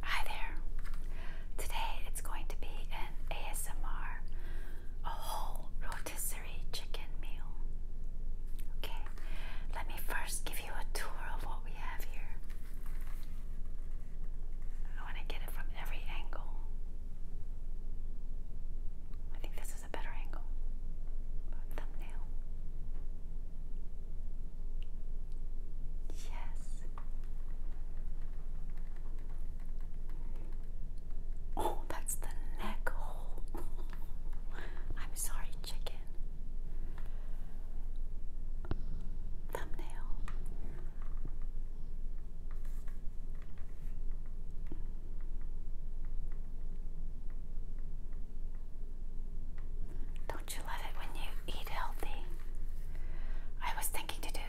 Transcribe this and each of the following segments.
Hi there. Today it's going to be an ASMR, a whole rotisserie chicken meal. Okay, let me first give you a tour of what we have here. I want to get it from every angle. I think this is a better angle. Thumbnail. Yes. Oh, that's the neck hole. I'm sorry, chicken. Thumbnail. Don't you love it when you eat healthy? I was thinking to do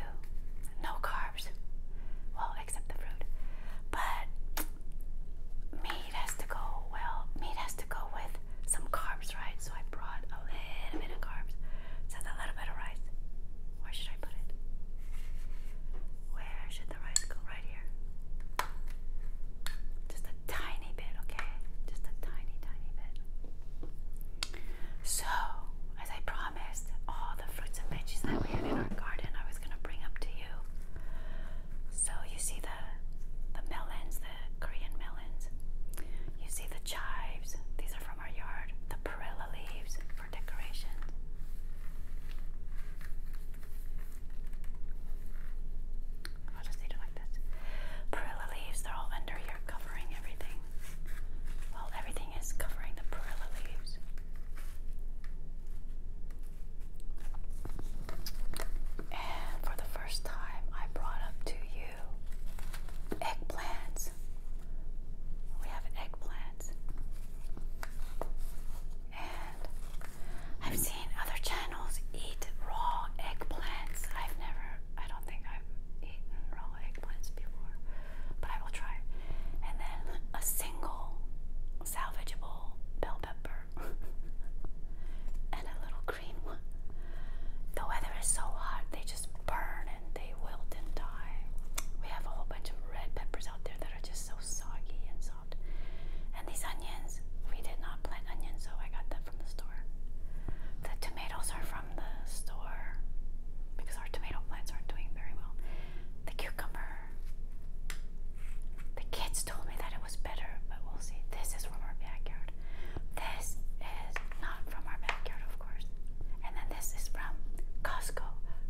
no carbs. Well, except the fruit. But meat has to go well, meat has to go with some carbs, right? So I brought a little bit of carbs. So a little bit of rice. Where should I put it? Where should the rice go? Right here. Just a tiny so, as I promised, all the fruits and veggies that we had in our garden I was going to bring up to you. So, you see the, the melons, the Korean melons. You see the chives. These are from our yard. The perilla leaves for decoration. I'll just need it like this. Perilla leaves, they're all under here covering everything. Well, everything is covering the perilla leaves. And for the first time, I brought up to you eggplants. We have eggplants. And I've seen other channels eat raw eggplants. I've never, I don't think I've eaten raw eggplants before, but I will try. And then a single salvageable bell pepper and a little green The weather is so hot, they just burn and they wilt and die. We have a whole bunch of red peppers out there that are just so soggy and soft. And these onions, we did not plant onions, so I got them from the store. The tomatoes are from the store because our tomato plants aren't doing very well. The cucumber. The kids told me that it was better, but we'll see. This is from our backyard. This is not from our backyard, of course. And then this is from Costco.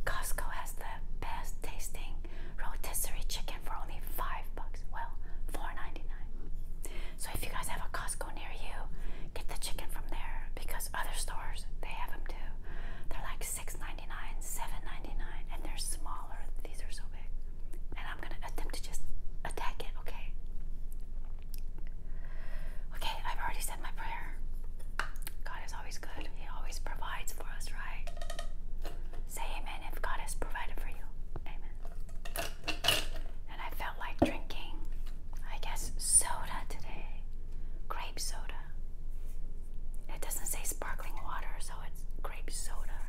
Costco has the best tasting rotisserie chicken weekend for only five bucks. Well, $4.99. So if you guys have a Costco near you, get the chicken from there because other stores they have them too. They're like $6.99, $7.99, and they're smaller. These are so big. And I'm gonna attempt to just attack it, okay? Okay, I've already said my prayer. God is always good. He always provides for us, right? Say amen if God has provided for you. Amen. And I felt like drinking, I guess, soda today. Grape soda. It doesn't say sparkling water, so it's grape soda.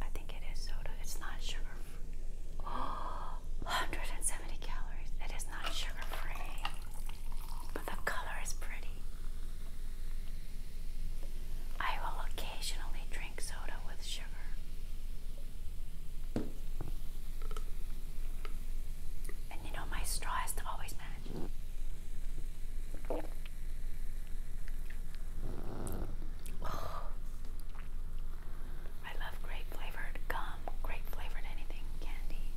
I think it is soda. It's not sugar 170 calories. It is not sugar free but the color is pretty. I will occasionally drink soda with sugar. And you know, my straw has to always match. I love grape flavored gum, grape flavored anything, candy.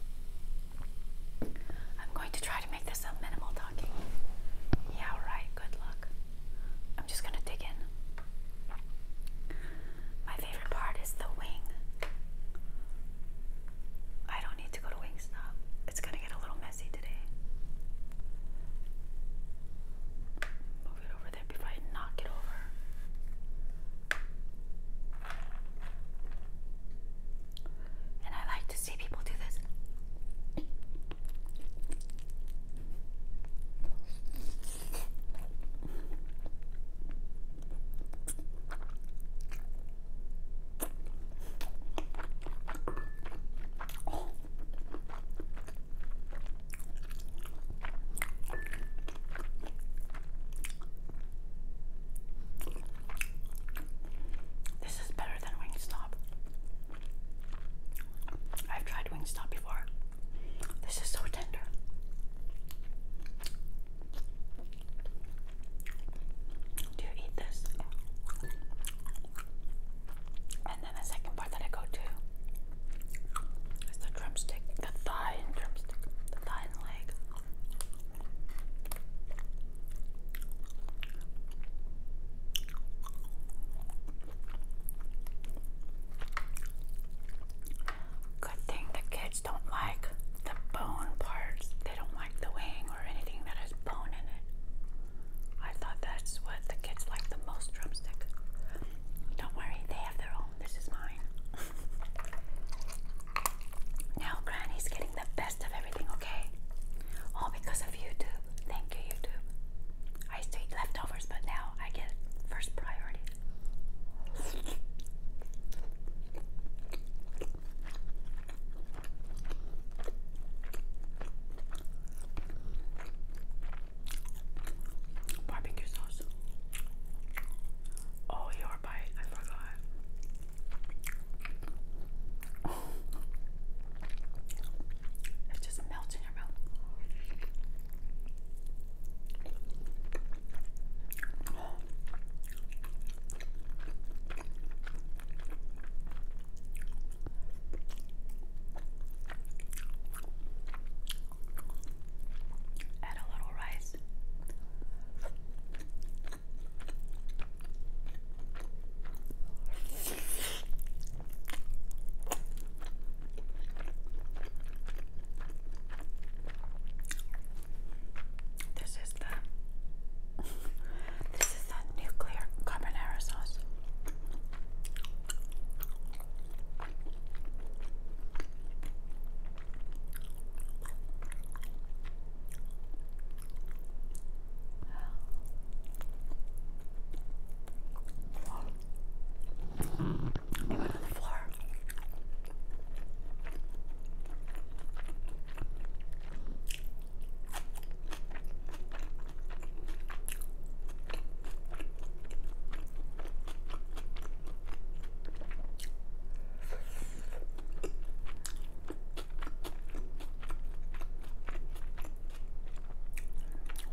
I'm going to try to make this a minimal talking. Yeah, right, good luck. I'm just going to dig in. My favorite part is the wing. I don't need to go to Wingstop. It's going to get a little messy today. Move it over there before I knock it over. And I like to see people do this. This is better than Wingstop. I've tried Wingstop before. This is so tender. Do you eat this? And then the second part that I go to is the drumstick, the thigh and drumstick, the thigh and leg. Good thing the kids don't like the bone parts. They don't like the wing or anything that has bone in it. I thought that's what the kids like the most drumstick. Don't worry, they have their own. This is mine. Now Granny's getting the best of everything, okay? All because of YouTube. Thank you, YouTube. I used to eat leftovers, but now I get first priority. Barbecue sauce. Oh, your bite. I forgot. It just melts in your mouth. Add a little rice. This is the this is the nuclear carbonara sauce. He went on the floor.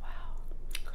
Wow, good.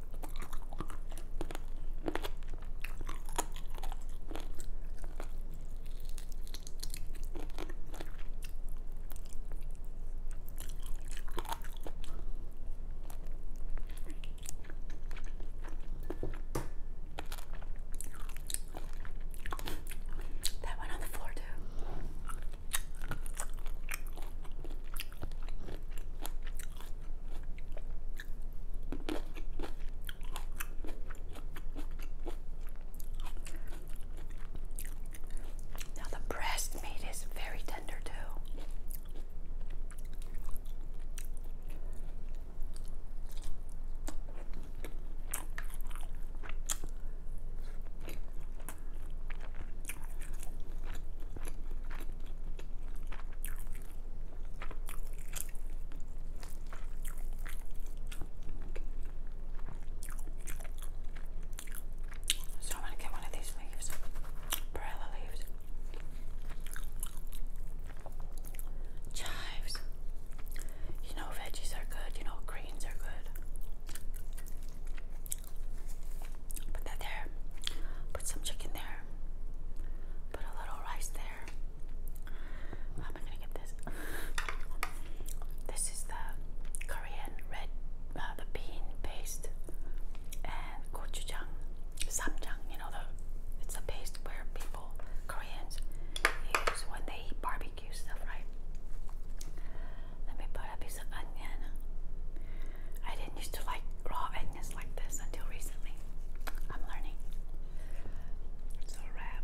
That went on the floor too. Now, the breast meat is very tender, too. So I'm gonna get one of these leaves, perilla leaves, chives. You know, veggies are good. You know, greens are good. Put that there. Put some chicken there. Put a little rice there. How am gonna get this? This is the Korean red, uh, the bean paste and gochujang, samjang. You know the it's a paste where people Koreans use when they eat barbecue stuff, right? Let me put a piece of onion. I didn't used to like raw onions like this until recently. I'm learning. So wrap.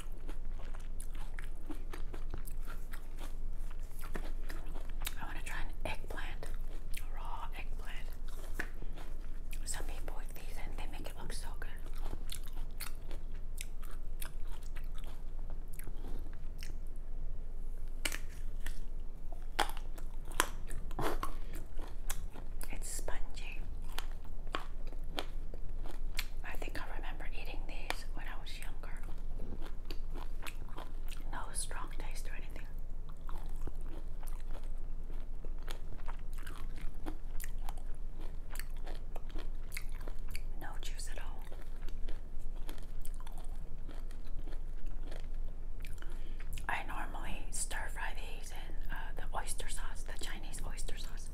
I want to try an eggplant, raw eggplant. Some people with these and they make it look so good. It's spongy. I think I remember eating these when I was no strong taste or anything. No juice at all. I normally stir fry these in uh, the oyster sauce, the Chinese oyster sauce sauce.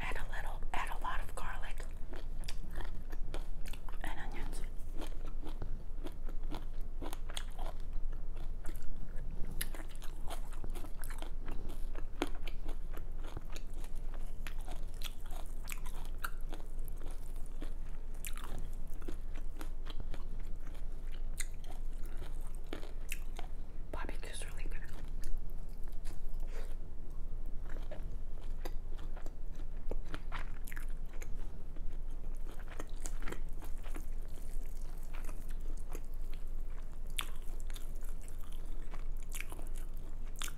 Add a little, add a lot of garlic and onions. Barbecue's really good.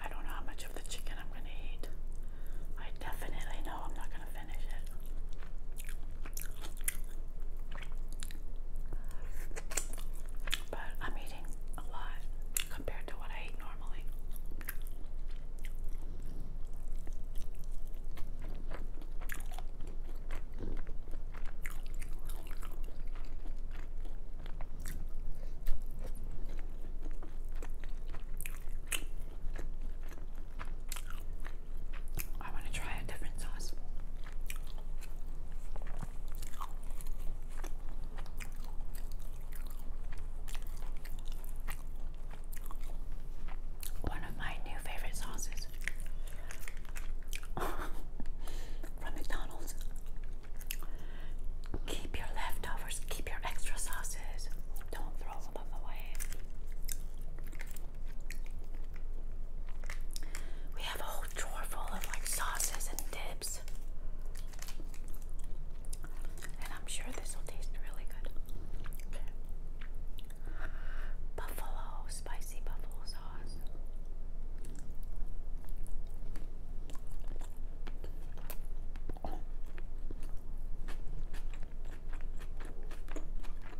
I don't know how much of the chicken I'm going to eat. I definitely know I'm not going to finish it. But I'm eating a lot compared to what I eat normally. I want to try a different sauce. One of my new favorite sauces from McDonald's. Keep your leftovers, keep your extra sauces. Don't throw them away. We have a whole drawer full of like sauces and dips. And I'm sure this will taste really good. Buffalo, spicy buffalo sauce.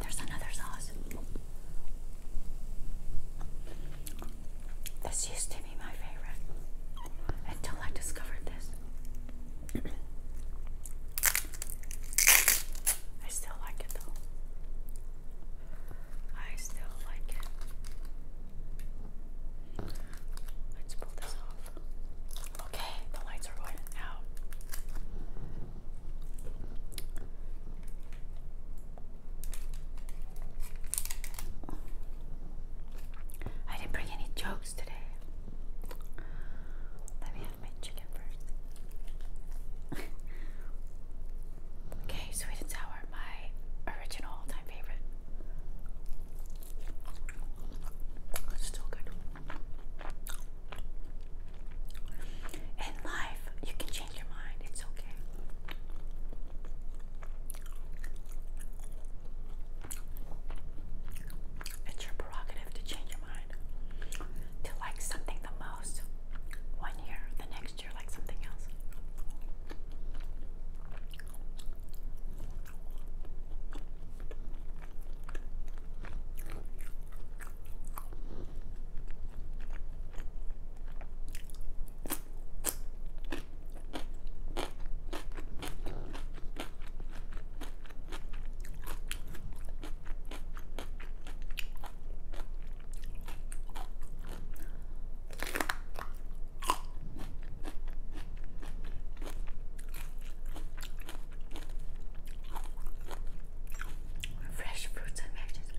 There's another sauce. This used to be my favorite until I discovered this. I still like it though. I still like it. Let's pull this off. Okay, the lights are going out. I didn't bring any jokes today. Let me have my chicken first. okay, sweet and sour, my original all-time favorite. It's still good. In life, you can change your mind. It's okay. It's your prerogative to change your mind. To like something the most one year, the next year, like something else. Fresh fruits and vegetables.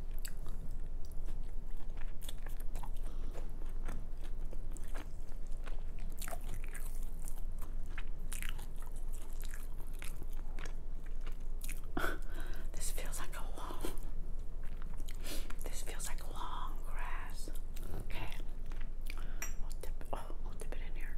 this feels like a wall. this feels like long grass. Okay. oh, we'll dip it in here.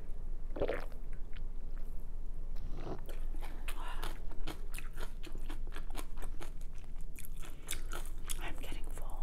I'm getting full.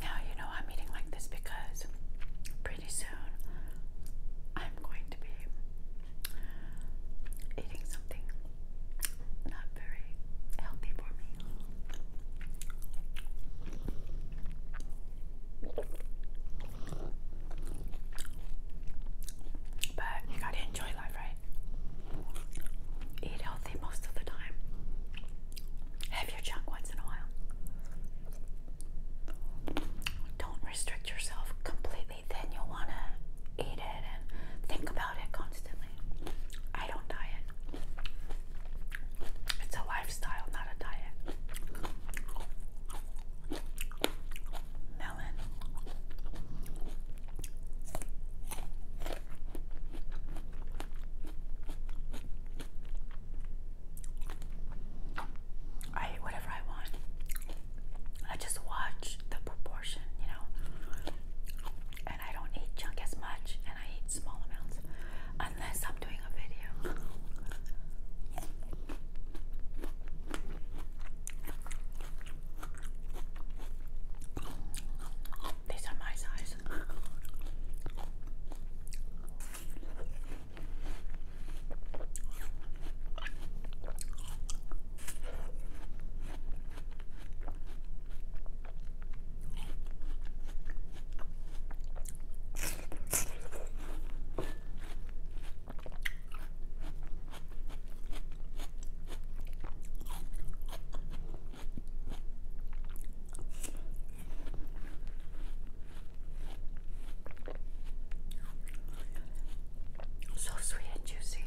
Now, you know, I'm eating like this because pretty soon I'm going to be eating something not very healthy for me. But you gotta enjoy life, right? Eat healthy most of the time. Have your junk once in a while. Don't restrict yourself completely, then you'll wanna eat it and think about it constantly. I don't diet. It's a lifestyle, not a diet. I eat whatever I want. I just watch the proportion, you know. And I don't eat junk as much, and I eat small amounts unless I'm doing a video. These are my size. So sweet and juicy.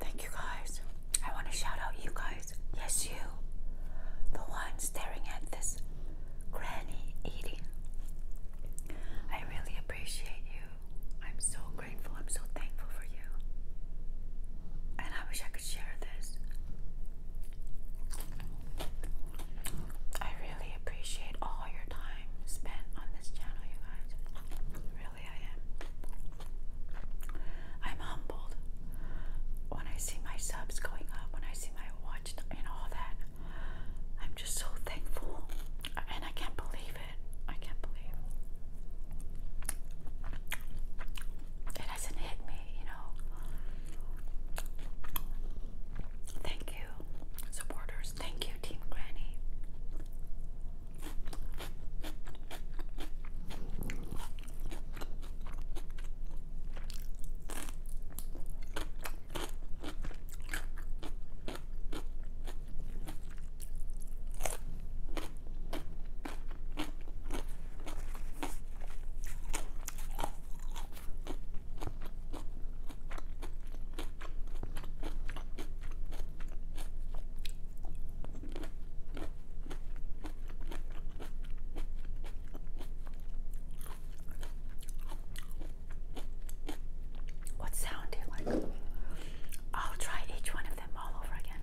Thank you guys. I want to shout out you guys. Yes, you. The one staring at this granny eating. I really appreciate you. I'm so grateful. I'm so thankful for you. And I wish I could share this I really appreciate all your time spent on this channel, you guys. Really, I am. I'm humbled when I see my subs going up, when I see my watch and all that. I'm just so thankful, and I can't believe it. I can't believe it hasn't hit me, you know. Thank you supporters. Thank you, Team Granny. What sound do you like? I'll try each one of them all over again.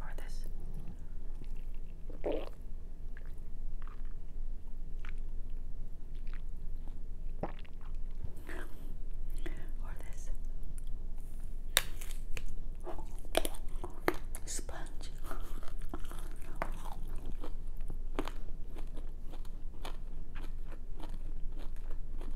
Or this. Or this. Sponge.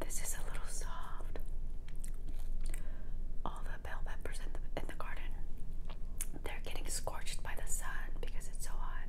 This is a little soft. All the bell peppers in the, in the garden, they're getting scorched by the sun because it's so hot.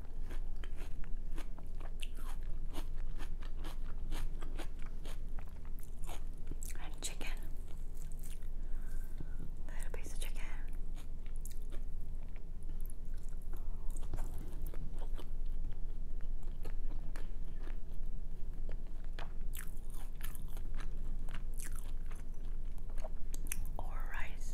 And chicken. Little piece of chicken. Or rice.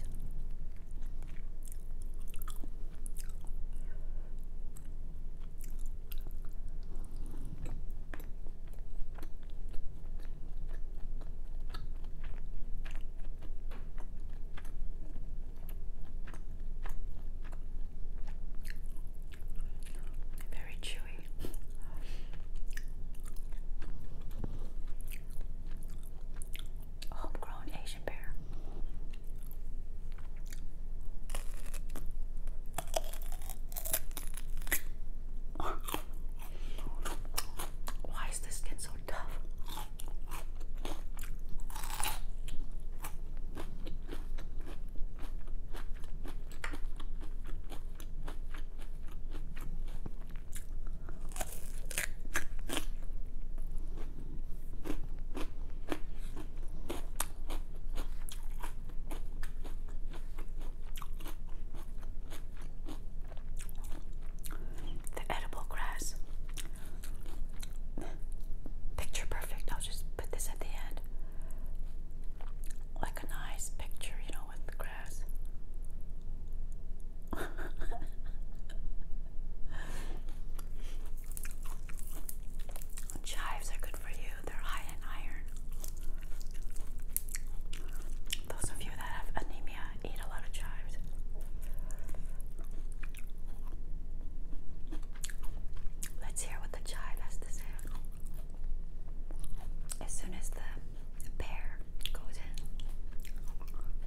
Very chewy homegrown Asian pear. Why is this skin so tough? The edible grass. Picture perfect. I'll just put this at the end. Like a nice picture, you know, with the grass. Chives are good for you, they're high in iron. Those of you that have anemia eat a lot of chives. Let's hear what the chive has to say. As soon as the pear goes in,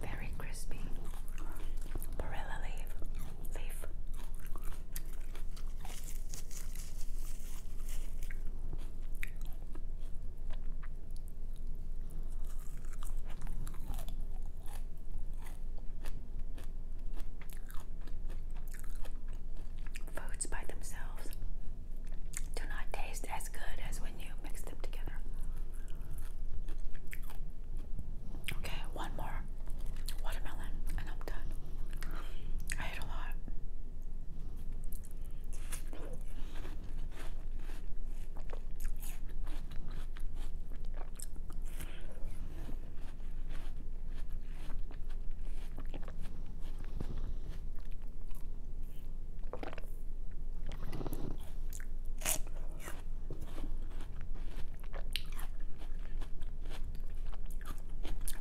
Very crispy. Barilla leaf. Leaf. Foods by themselves do not taste as good as when you mix them together. Okay, one more watermelon, and I'm done. I ate a lot. It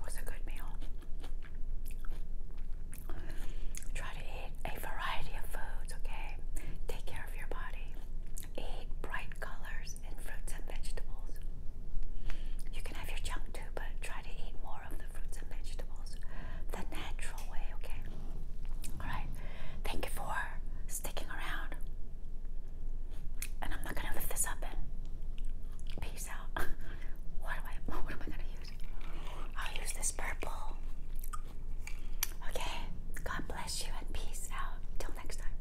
was a good meal. Try to eat a variety of foods, okay? Take care of your body. Eat bright colors and fruits and vegetables. You can have your junk too, but try to eat more of fruits and vegetables the natural way, okay? Alright, thank you for sticking around. And I'm not gonna lift this up and peace out. what am I what am I gonna use? I'll use this purple. Okay, God bless you and peace out. Till next time.